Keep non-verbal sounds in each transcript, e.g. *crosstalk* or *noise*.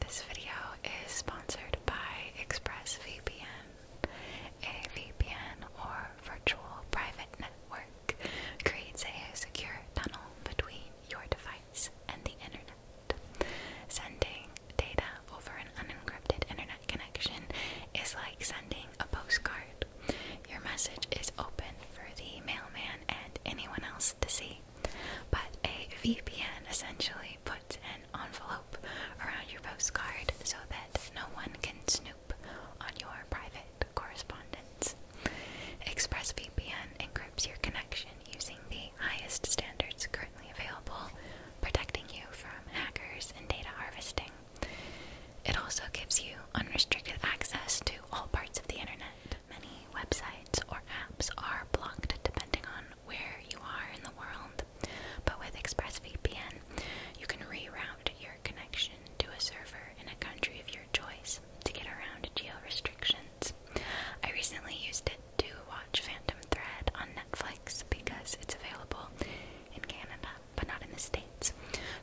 This video is sponsored by ExpressVPN, a VPN or virtual private network creates a secure tunnel between your device and the internet. Sending data over an unencrypted internet connection is like sending a postcard. Your message is open for the mailman and anyone else to see. But a VPN essentially puts an envelope around your postcard so that no one can snoop on your private correspondence. ExpressVPN encrypts your connection using the highest standards currently available, protecting you from hackers and data harvesting. It also gives you unrestricted access to all parts of the internet. Many websites or apps are blocked depending on where you are in the world. But with ExpressVPN, you can reroute your connection to a server in a country of your choice to get around geo restrictions. I recently used it to watch Phantom Thread on Netflix because it's available in Canada but not in the States.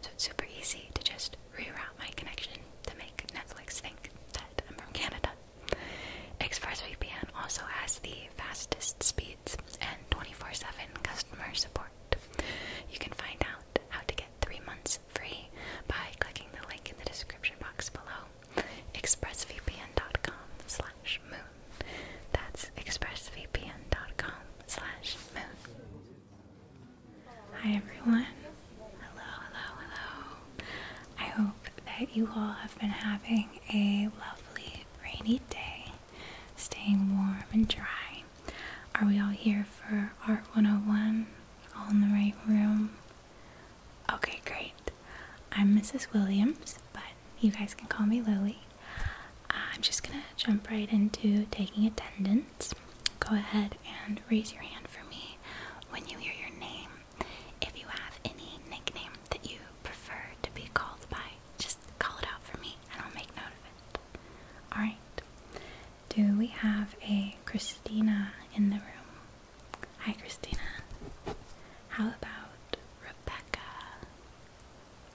So it's super easy to just reroute my connection to make Netflix think that I'm from Canada. ExpressVPN also has the fastest speeds and 24 7 customer support. You can find out how to get three months free by clicking the link in the description box below expressvpn.com slash moon. That's expressvpn.com slash moon. Hi everyone, Hello, hello, hello. I hope that you all have been having a lovely rainy day, staying warm and dry. Are we all here for Art 101? All in the right room? Okay, great. I'm Mrs. Williams, but you guys can call me Lily. I'm just gonna jump right into taking attendance. Go ahead and raise your hand for me when you hear your name. If you have any nickname that you prefer to be called by, just call it out for me and I'll make note of it. Alright, do we have a Christina in the room? Hi, Christina. How about Rebecca?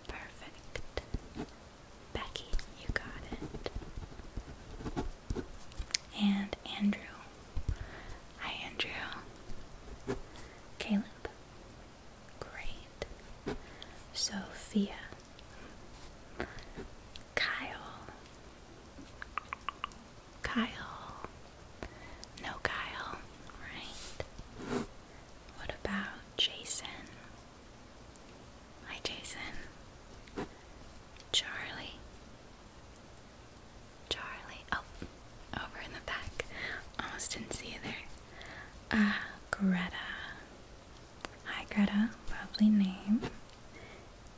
Perfect. Becky, you got it. And Andrew, Hi, Andrew. Caleb. Great. Sophia. Kyle. Kyle. No Kyle, right? What about Jason? Hi, Jason. Charlie. Charlie. Oh, over in the back. Almost didn't see you there. Ah, Greta. Hi, Greta. Lovely name.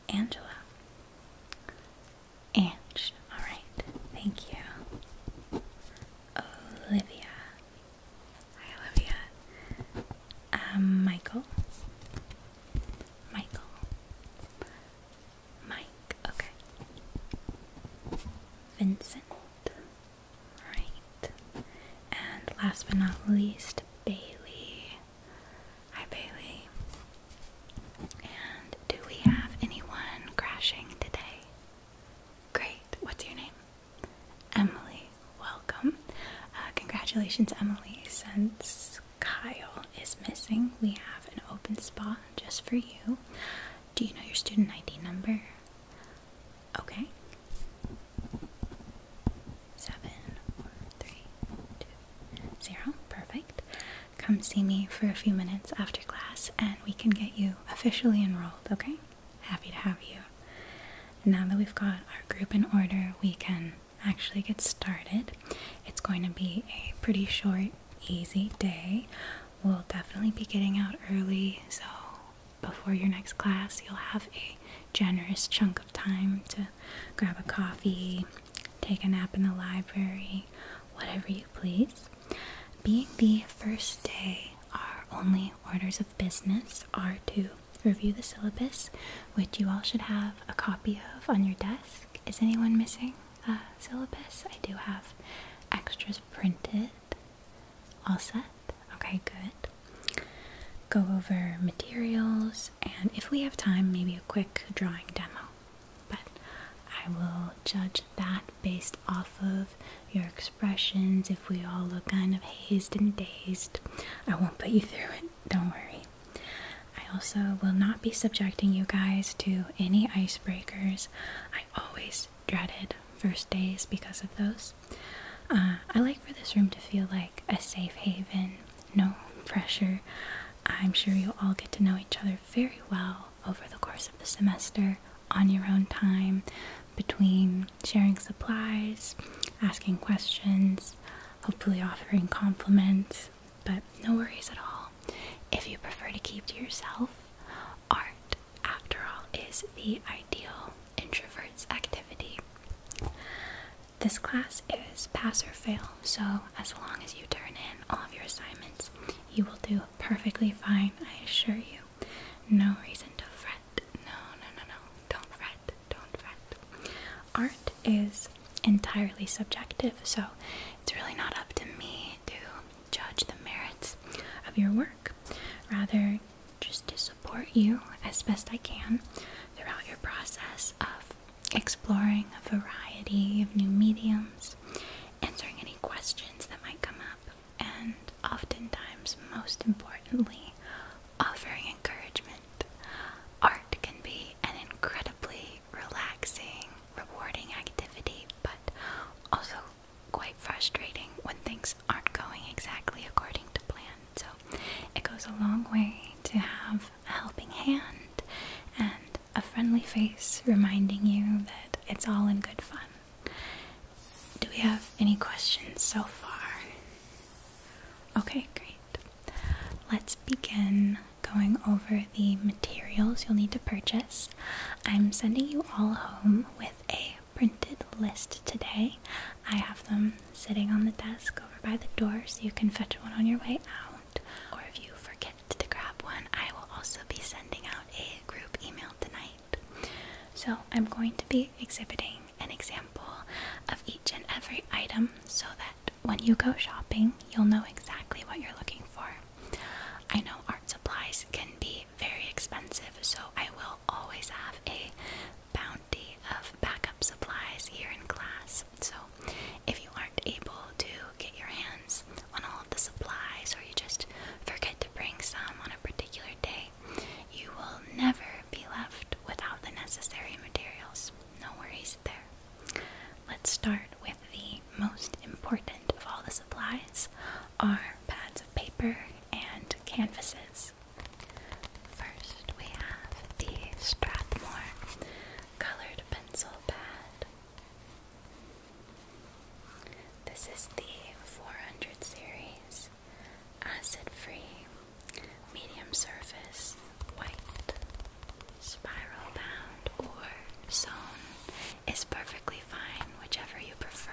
Angela. Ange. Alright. Thank you. Olivia. Hi, Olivia. Um, Michael. Michael. Mike, okay. Vincent, right. And last but not least, Bailey. Hi, Bailey. And do we have anyone crashing today? Great. What's your name? Emily. Welcome. Uh, congratulations, Emily. Since Kyle is missing. We have an open spot just for you. Do you know your student ID number? Okay. Seven, four, three, two, zero. Perfect. Come see me for a few minutes after class and we can get you officially enrolled, okay? Happy to have you. Now that we've got our group in order, we can actually get started. It's going to be a pretty short, easy day. We'll definitely be getting out early, so before your next class, you'll have a generous chunk of time to grab a coffee, take a nap in the library, whatever you please. Being the first day, our only orders of business are to review the syllabus, which you all should have a copy of on your desk is anyone missing a syllabus? I do have extras printed. All set? Okay, good. Go over materials and if we have time, maybe a quick drawing demo. But I will judge that based off of your expressions. If we all look kind of hazed and dazed, I won't put you *laughs* through it. Don't worry. I also will not be subjecting you guys to any icebreakers. I always dreaded first days because of those. Uh, I like for this room to feel like a safe haven, no pressure. I'm sure you'll all get to know each other very well over the course of the semester on your own time between sharing supplies, asking questions, hopefully offering compliments. But no worries at all. If you prefer to keep to yourself, art, after all, is the ideal introvert's activity. This class is pass or fail, so as long as you turn in all of your assignments, you will do perfectly fine, I assure you. No reason to fret. No, no, no, no. Don't fret. Don't fret. Art is entirely subjective, so it's really not up to me to judge the merits of your work. Rather, just to support you as best I can throughout your process of exploring a variety of new mediums, answering any questions that might come up, and oftentimes, most importantly, offering encouragement. Art can be an incredibly relaxing, rewarding activity, but also quite frustrating when things aren't going exactly according to plan. So it goes a long way to have a helping hand and a friendly face reminding you that it's all in good fun. Do we have any questions so far? Okay, great. Let's begin going over the materials you'll need to purchase. I'm sending you all home with a printed list today. I have them sitting on the desk over by the door so you can fetch one on your way out. Or if you forget to grab one, I will also be sending out a group email tonight. So I'm going to be exhibiting an example of each and every item so that when you go shopping, you'll know exactly what you're looking for. I know art supplies can be very expensive, so I will always have a bounty of backup supplies here in class. So if you aren't able to get your hands on all of the supplies or you just forget to bring some on a particular day, you will never be left without the necessary materials. No worries there. Let's start with the most important of all the supplies are pads of paper and canvases. First we have the Strathmore colored pencil pad. This is the 400 series acid free medium surface, white, spiral bound, or sewn is perfectly fine, whichever you prefer.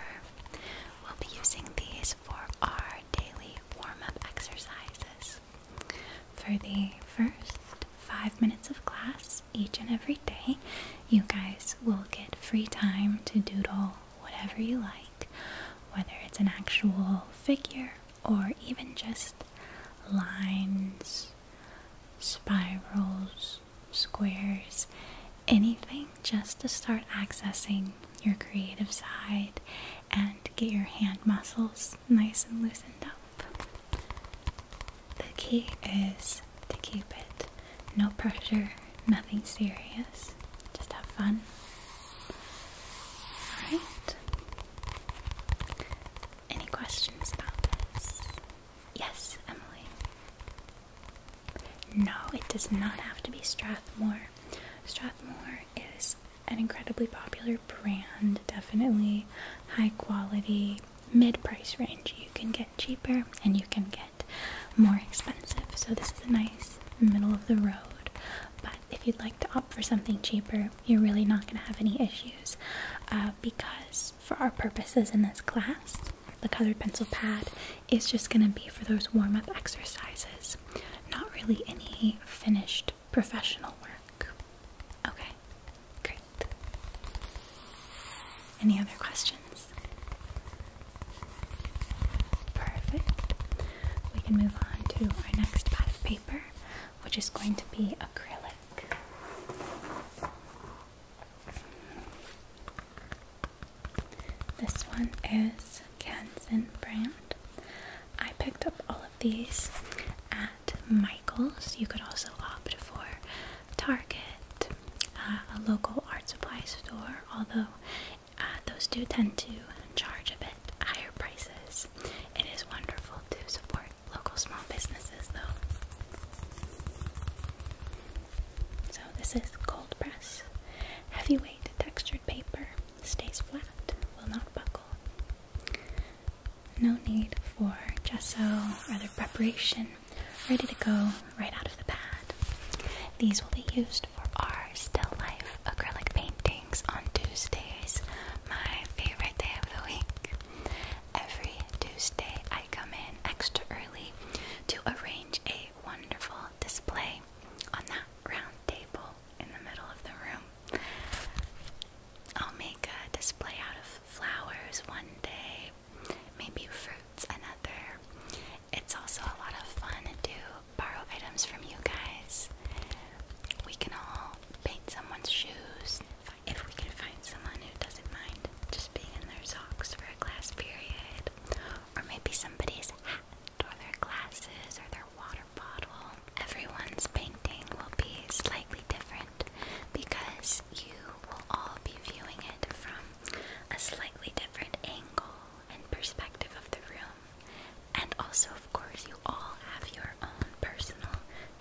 We'll be using these for our daily warm up exercises. For the first five minutes of class each and every day, you guys will get free time to doodle whatever you like, whether it's an actual figure or even just lines, spirals, squares, anything just to start accessing your creative side and get your hand muscles nice and loosened up. The key is to keep it no pressure, nothing serious, just have fun. Alright, any questions about this? Yes, Emily. No, it does not have to be Strathmore. Strathmore is an incredibly popular brand, definitely high quality, mid price range. You can get cheaper and you can get more expensive. So, this is a nice middle of the road but if you'd like to opt for something cheaper, you're really not going to have any issues uh, because, for our purposes in this class, the colored pencil pad is just going to be for those warm up exercises, not really any finished professional work. Okay, great. Any other questions? Perfect. We can move on to our next pad of paper which is going to be acrylic. This one is Kansen brand. I picked up all of these at Michael's. You could also opt for Target, uh, a local art supply store, although uh, those do tend to charge a bit higher prices. It is wonderful to support local small businesses, though. So, this is cold press. Heavyweight textured paper stays flat, will not buckle. No need for gesso or other preparation, ready to go right out of the pad. These will be used for our still life acrylic painting on Tuesdays, my favorite day of the week. Every Tuesday, I come in extra early to arrange a wonderful display on that round table in the middle of the room. I'll make a display out of flowers one day, maybe fruits another. It's also a lot of fun to borrow items from you guys we can all paint someone's shoes if we can find someone who doesn't mind just being in their socks for a class period, or maybe somebody's hat, or their glasses, or their water bottle. Everyone's painting will be slightly different because you will all be viewing it from a slightly different angle and perspective of the room. And also, of course, you all have your own personal,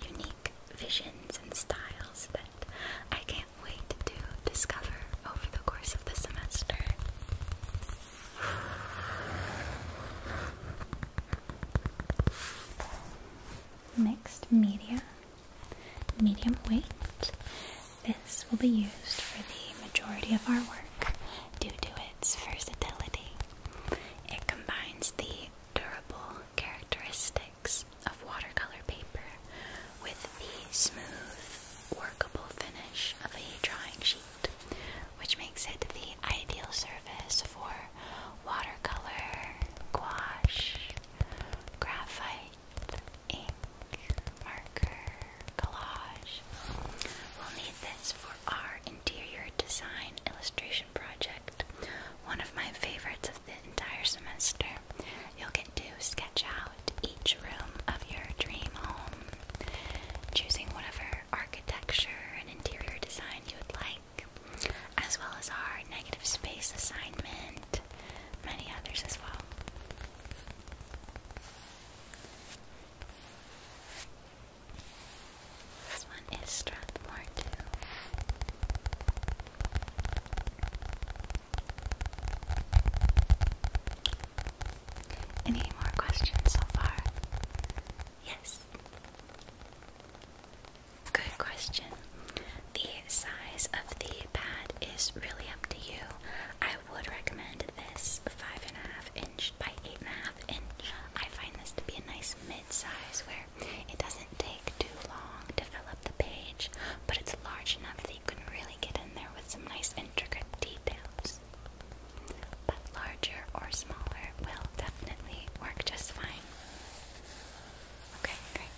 unique visions and styles that I can't wait to discover over the course of the semester. Mixed media, medium weight. This will be used for the majority of our work due to its versatility. It combines the durable characteristics of watercolor paper with the smooth, workable finish of a drawing sheet, which makes it the ideal surface for watercolor, gouache, graphite, ink, marker, collage. We'll need this for our interior design illustration project, one of my favorites of the entire semester. You'll get to sketch out each room of your dream home, choosing whatever architecture and interior design you would like, as well as our negative space assignment, many others as well. This one is Strathmore too. Any more questions so far? Yes. Good question. The size of the pad is really up to you. I would recommend this five and a half inch by eight and a half inch. I find this to be a nice mid-size where it doesn't take too long to fill up the page, but it's large enough that you can really get in there with some nice intricate details. But larger or smaller will definitely work just fine. Okay, great.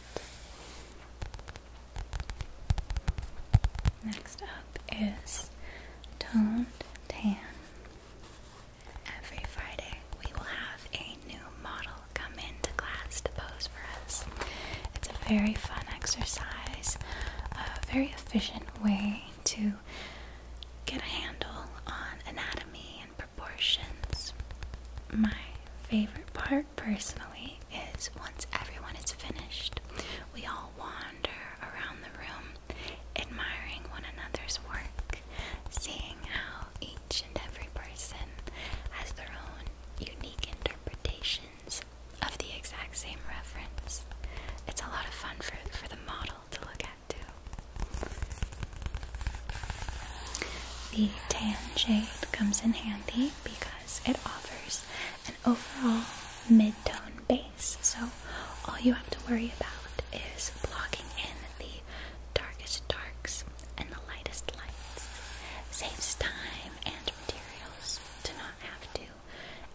Next up is toned tan. Every Friday, we will have a new model come into class to pose for us. It's a very fun exercise, a very efficient way to get a handle on anatomy and proportions. My favorite part, personally, is once everyone is finished, we all wander around the room admiring one another's work, seeing how each and every person has their own unique interpretations of the exact same reference. It's a lot of fun for, for the model to look at too. The tan shade comes in handy because it offers an overall mid-tone base so all you have to worry about is blocking in the darkest darks and the lightest lights. Saves time and materials to not have to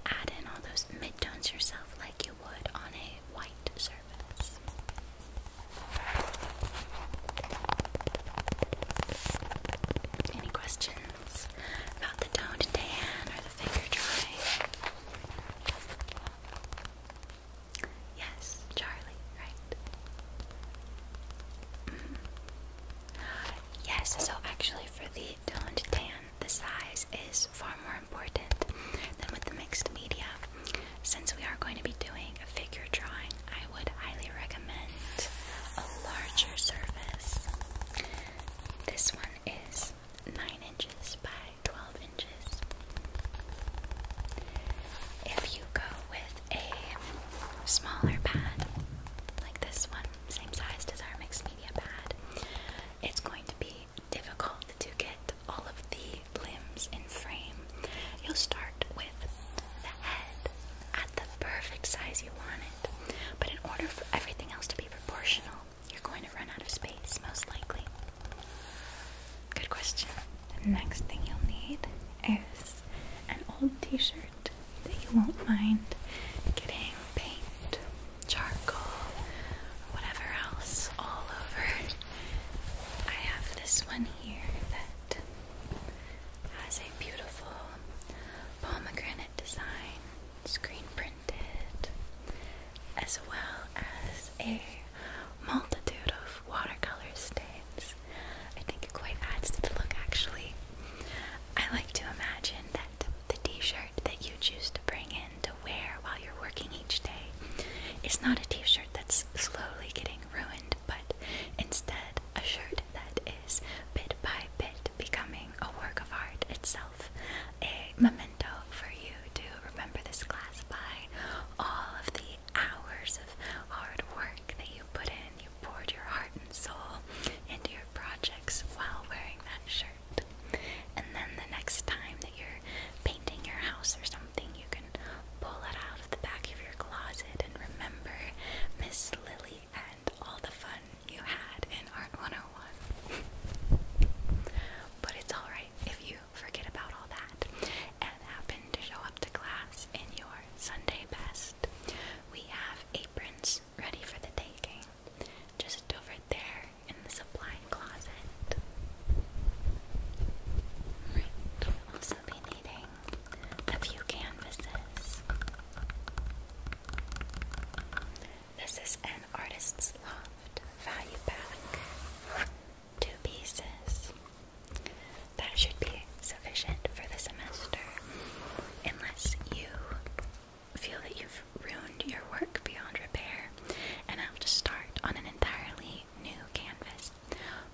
add in all those midtones yourself like you would on a white surface. Any questions about the toned tan or the finger drawing? Yes, Charlie, right? Mm-hmm. Yes, so actually, for the toned tan, the size is far more important than with the mixed media. Since we are going to be doing a figure drawing, I would highly recommend a larger surface. This one is 9 inches by 12 inches. If you go with a smaller pad, like this one, same size as our mixed media pad, it's going to be difficult to get all of the limbs in frame. You'll start with the head at the perfect size you want it, but in order for everything else to be proportional, you're going to run out of space, most likely. Good question. The next thing you'll need is an old t shirt that you won't mind getting paint, charcoal, whatever else all over. I have this one here that has a beautiful pomegranate design screen print as well as a multitude of watercolor stains. I think it quite adds to the look, actually. I like to imagine that the t shirt that you choose to bring in to wear while you're working each day is not a t shirt that's slowly getting ruined, but instead a shirt that is bit by bit becoming a work of art itself, a memento for you to remember this class by all of the hours of hard work that you put in. You poured your heart and soul into your projects while wearing that shirt. And then the next time that you're painting your house or something, you can pull it out of the back of your closet and remember Miss Lily and all the fun you had in Art 101. but it's alright if you forget about all that and happen to show up to class in your Sunday best. We have aprons ready for the taking, just over there in the supply closet. Right, we'll also be needing a few canvases. This is an artist's loft value pack. Two pieces. That should be sufficient for the semester, unless you feel that you've ruined your work beyond repair and have to start on an entirely new canvas.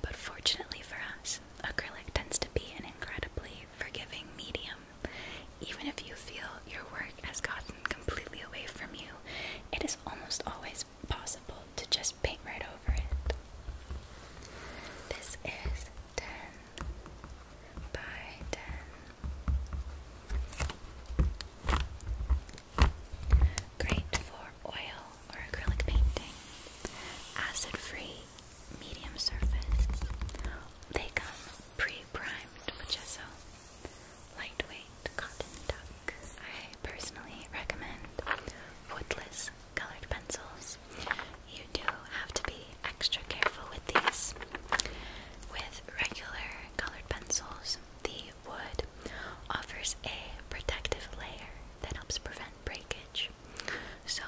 But fortunately for us, acrylic tends to be an incredibly forgiving medium. Even if you feel your work has gotten completely away from you, it is almost always possible to just paint right over it. This is 10 by 10. Great for oil or acrylic painting. Acid free, medium surface. They come pre primed with gesso lightweight cotton tuck. I personally recommend woodless colored pencils. You do have to be extra careful with these. With regular colored pencils, the wood offers a protective layer that helps prevent breakage. So,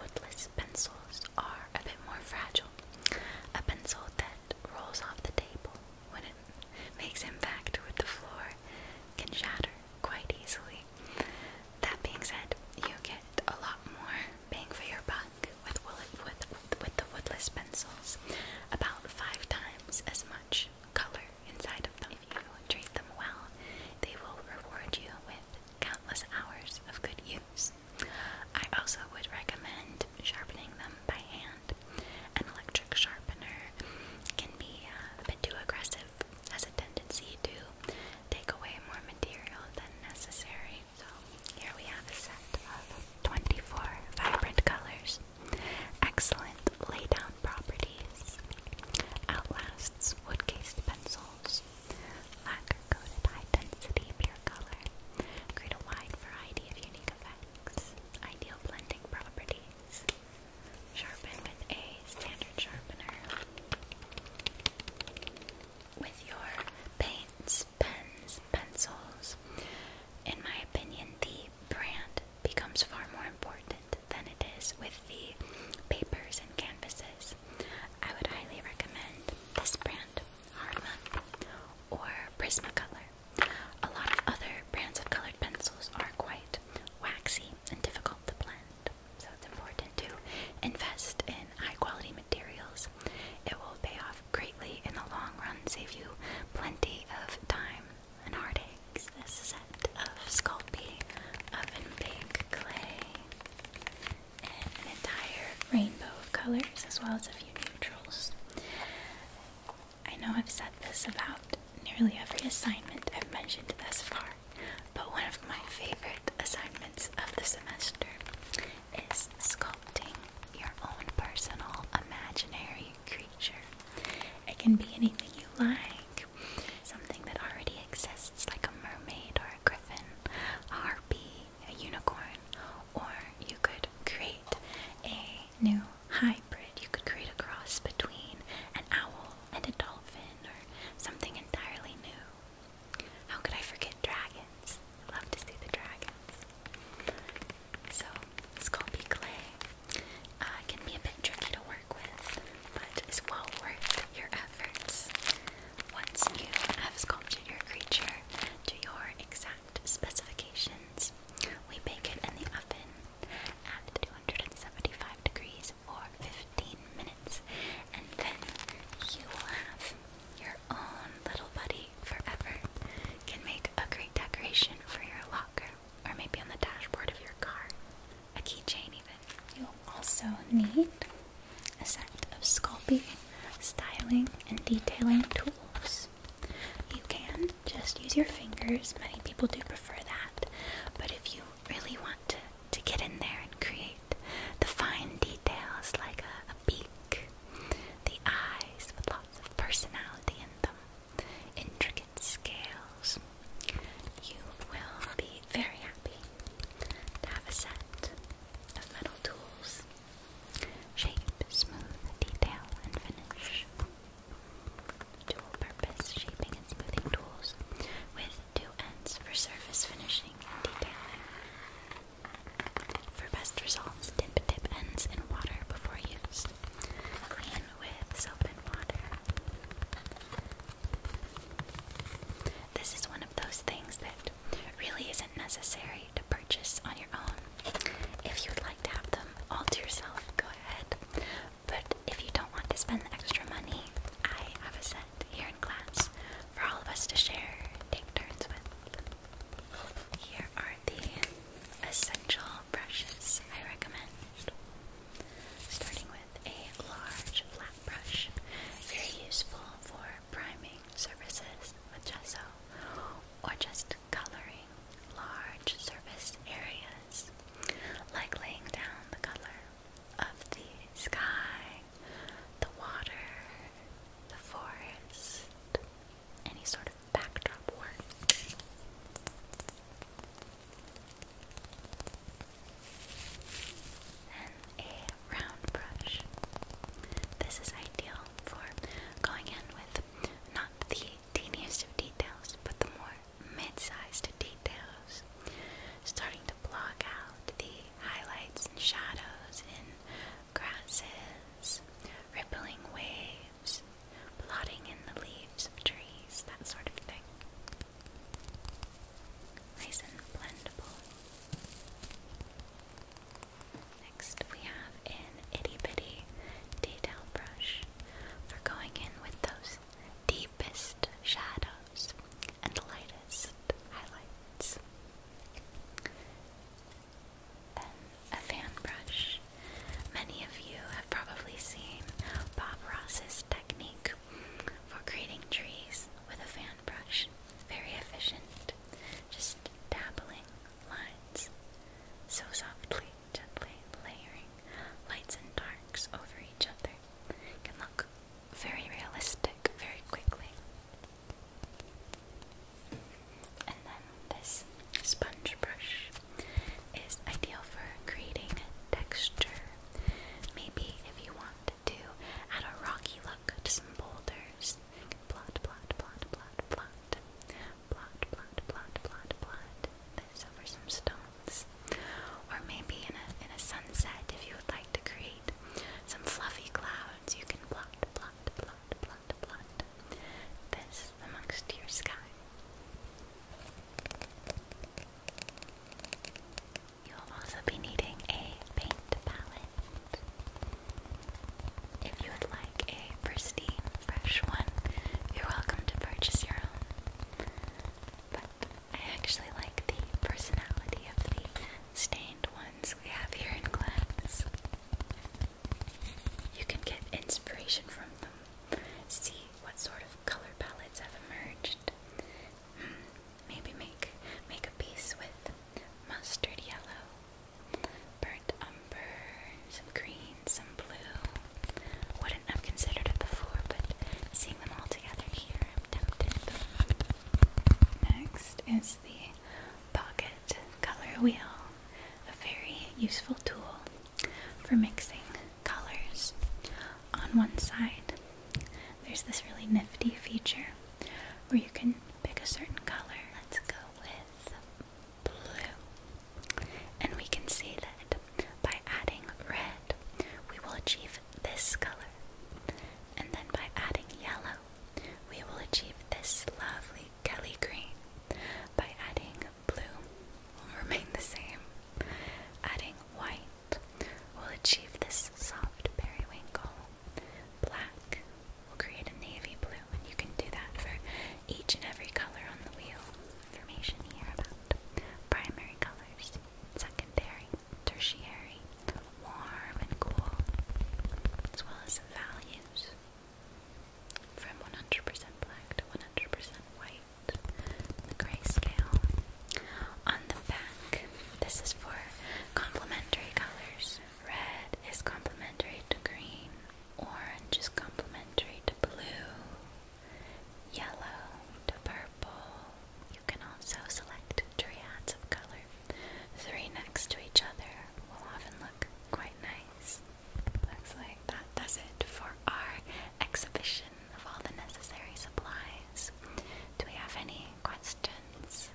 woodless pencils are a bit more fragile. A pencil that rolls off the table when it makes impact with the floor can shatter quite easily. That being said, you get a lot more bang for your buck with with with the woodless pencils, about five times as much color inside of them. If you treat them well, they will reward you with countless hours of good use. I also would recommend sharpening them by hand. An electric sharpener can be uh, a bit too aggressive, has a tendency to take away more material than necessary. So here we have a set of 24 vibrant colors. Excellent lay-down properties. Outlasts wood-cased pencils. Lack sugar-coated high-density pure color. Create a wide variety of unique effects. Ideal blending properties. Sharpen with a standard sharpener. With your paints, pens, pencils, in my opinion, the brand becomes far more important than it is with the papers and canvases. I would highly recommend this brand Hardman, or Prismacolor. A lot of other brands of colored pencils are quite waxy and difficult to blend, so it's important to invest in high quality materials. It will pay off greatly in the long run, save you plenty of time and heartaches. This set of Sculpey Oven Bake Clay and an entire rainbow of colors as well as a few neutrals. I know I've said this about nearly every assignment I've mentioned thus far, but one of my favorite assignments of the semester is sculpting your own personal imaginary creature. It can be anything you like, something that already exists, like a mermaid or a griffin, a harpy, a unicorn, or you could create a new hybrid. You could create a cross between an owl and a dolphin or something entirely new. How could I forget dragons? I love to see the dragons. So, Sculpey clay uh, can be a bit tricky to work with, but it's well worth your efforts. Once you have sculpted your creature to your exact specifications, we bake it in the oven at 275 degrees for 15 minutes, and then you will have your own little buddy forever. Can make a great decoration for your locker, or maybe on the dashboard of your car, a keychain even. You'll also need a set of sculpting, styling, and detailing tools. You can just use your fingers, many people do prefer that, but if you really want to, to get in there and create the fine details like a, a beak, the eyes with lots of personality in them, intricate scales, you will be very happy to have a set of metal tools Shape, smooth, detail, and finish. Dual purpose shaping and smoothing tools with two ends for surface finishing and detailing. For best results, dip tip ends in water before use. Clean with soap and water. This is one of those things that really isn't necessary to purchase on your own. If you'd like to have them all to yourself, go ahead. But if you don't want to spend the extra money, I have a set here in class for all of us to share, take turns with. Here are the essential brushes I recommend. Starting with a large flat brush, very useful for priming surfaces with gesso or just coloring large surface areas, like laying down the color of the sky, the water, the forest, any sort of backdrop work. Then a round brush. This is ideal for going in with not the teeniest of details, but the more mid-sized details. Starting to block out the highlights and shadows in grasses, rippling waves, blotting in the leaves of trees, that sort of thing. Nice and blendable. Next, we have an itty bitty detail brush for going in with those deepest shadows and lightest highlights. Then, a fan brush. Many of you have probably seen Bob Ross's technique for creating trees with a fan brush. Very efficient. Just dabbling lines. So softly, gently layering lights and darks over each other. can look very realistic very quickly. And then this sponge brush is ideal for creating texture. Maybe if you want to add a rocky look to some boulders Plot, plot, plot, plot, plot. Plot, plot, plot, plot, plot. This over some stones. Or maybe in a in a sunset if you would like to create some fluffy clouds, you can plot, plot, plot, plot, plot. This amongst your sky. You will also be needing a paint palette. If you would like a pristine, fresh one, you're welcome to purchase your own. But I actually like the personality of the stained ones we have here in class. You can get inspiration from them, see what sort of color palettes have emerged. Hmm. Maybe make make a piece with mustard yellow, burnt umber, some green, some blue. Wouldn't have considered it before, but seeing them all together here, I'm tempted. Next is the pocket color wheel, a very useful tool for mixing colors. On one side, there's this really nifty feature where you can pick a certain color. Let's go with blue. And we can see that by adding red, we will achieve this color. And then by adding yellow, we will achieve this lovely Kelly green. By adding blue, will *laughs* remain the same. Adding white will achieve this soft periwinkle black. will create a navy blue, and you can do that for each and every color on the wheel. Information here about primary colors, secondary, tertiary, warm and cool, as well as values from 100% black to 100% white, the grayscale. On the back, this is for Complementary colors. Red is complementary to green. Orange is complementary to blue. Yellow to purple. You can also select triads of color. Three next to each other will often look quite nice. Looks like that does it for our exhibition of all the necessary supplies. Do we have any questions?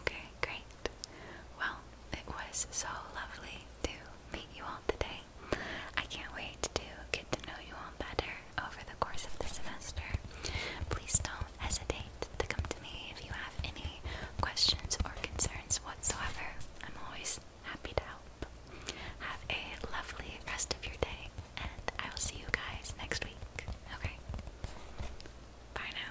Okay, great. Well, it was so lovely to meet you all today. I can't wait to get to know you all better over the course of the semester. Please don't hesitate to come to me if you have any questions or concerns whatsoever. I'm always happy to help. Have a lovely rest of your day, and I will see you guys next week. Okay. Bye now.